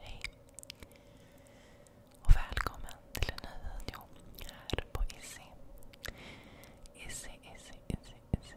Hej och välkommen till en ny video här på Izzy. Izzy, Izzy, Izzy, Izzy,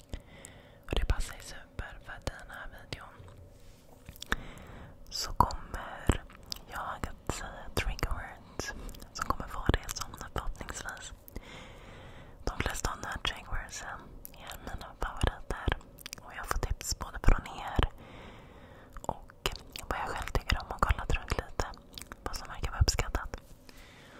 Och det passar ju super för att i den här videon så kommer jag att säga trigger som kommer vara det som förhoppningsvis de flesta av de här trigger är mina favoriter. Och jag får tips både från er och vad jag själv tycker om och kollat runt lite. Vad som verkar vara uppskattat.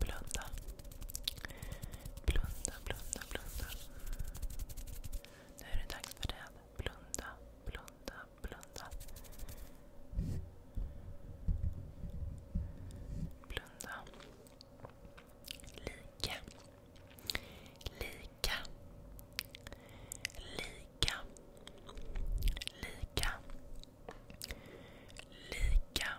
Blunda. Blunda, blunda, blunda. Nu är det dags för det. Blunda, blunda, blunda. Blunda. Lika. Lika. Lika. Lika. Lika.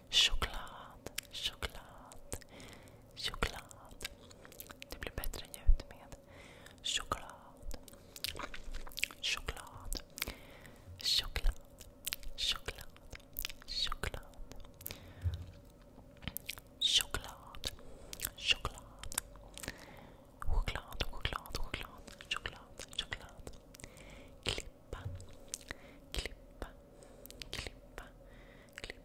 Choklad, choklad, choklad. Det blir bättre ljud med choklad. Choklad. Choklad. Choklad. Choklad. Choklad. Choklad. Choklad, choklad, choklad, choklad, choklad. Klippa, klippa, klippa, klippa,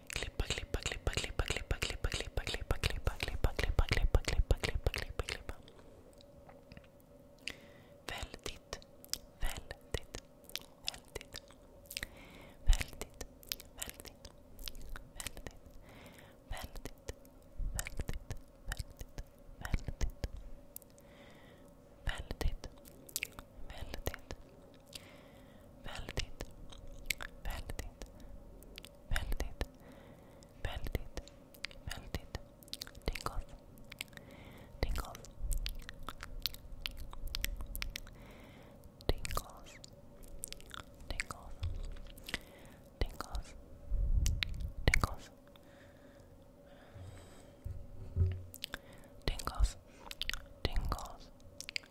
Clipa, clipa, clipa, clipa, clipa, clipa, clipa, clipa, clipa, clipa, clipa, clipa, clipa, clipa, clipa, clipa. Väldigt, väldigt, väldigt, väldigt, Väldigt, väldigt, väldigt, väldigt, väldigt tingles, tingles, tingles, tingles, tingles, tingles. Tingles, tingles,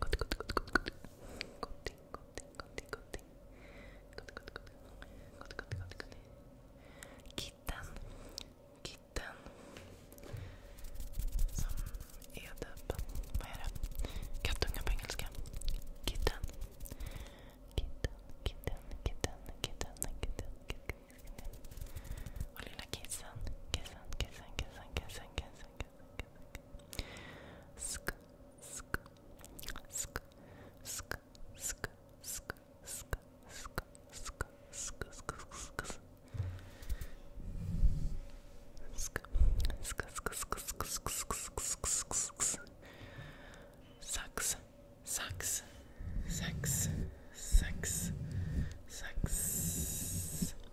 Good, good, good, good, good. Good thing, good thing, good thing, good thing. Good, good, good. Good, good, good, good. Kitten. Kitten. Som är typ, vad är det? Kattunga på engelska. Kitten. Kitten, kitten, kitten, kitten, kitten, kitten. Och lilla kissen. Kissen, kissen, kissen, kissen, kissen, kissen okay. Sk, sk, sk, sk, sk, sk, sk, sk, sk, sk, sk, sk, sk. Sucks, sucks, sucks, sucks, sucks, sucks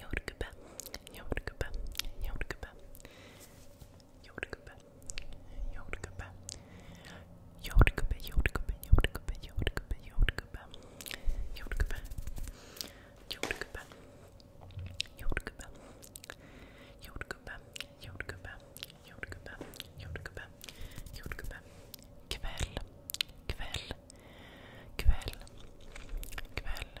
Jordgubbe, jordgubbe, jordgubbe. Jordgubbe, jordgubbe. Jordgubbe, jordgubbe, jordgubbe, jordgubbe, jordgubbe. Jordgubbe. Jordgubbe. Jordgubbe. Jordgubbe, jordgubbe, jordgubbe, jordgubbe. Jordgubbe. Kväll. Kväll. Kväll. Kväll.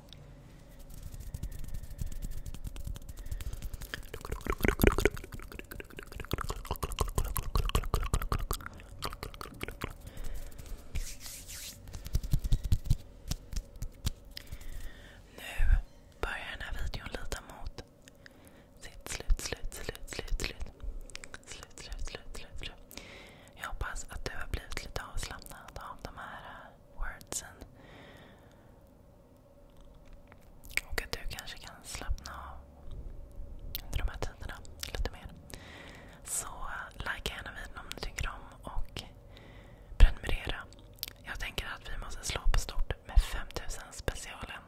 Nu börjar den här videon lida mot sitt slut, slut, slut, slut, slut. Slut, slut, slut, slut, slut. Jag hoppas att du har blivit lite avslappnad av de här wordsen. Och att du kanske kan slappna av under de här tiderna lite mer. Så likea gärna videon om du tycker om och prenumerera. Jag tänker att vi måste slå på stort med 5000 specialen.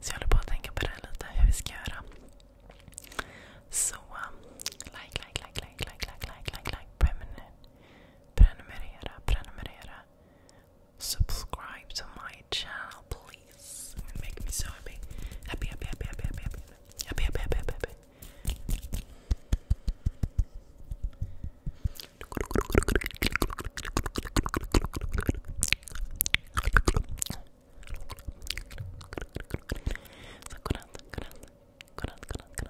Så jag håller på att tänka på det lite, hur vi ska göra. Så, like, like, like, like, like, like, like, prenumerera. prenumerera, prenumerera. Subscribe to my channel, please. make me so happy. Happy, happy, happy, happy, happy, happy, happy, happy, happy,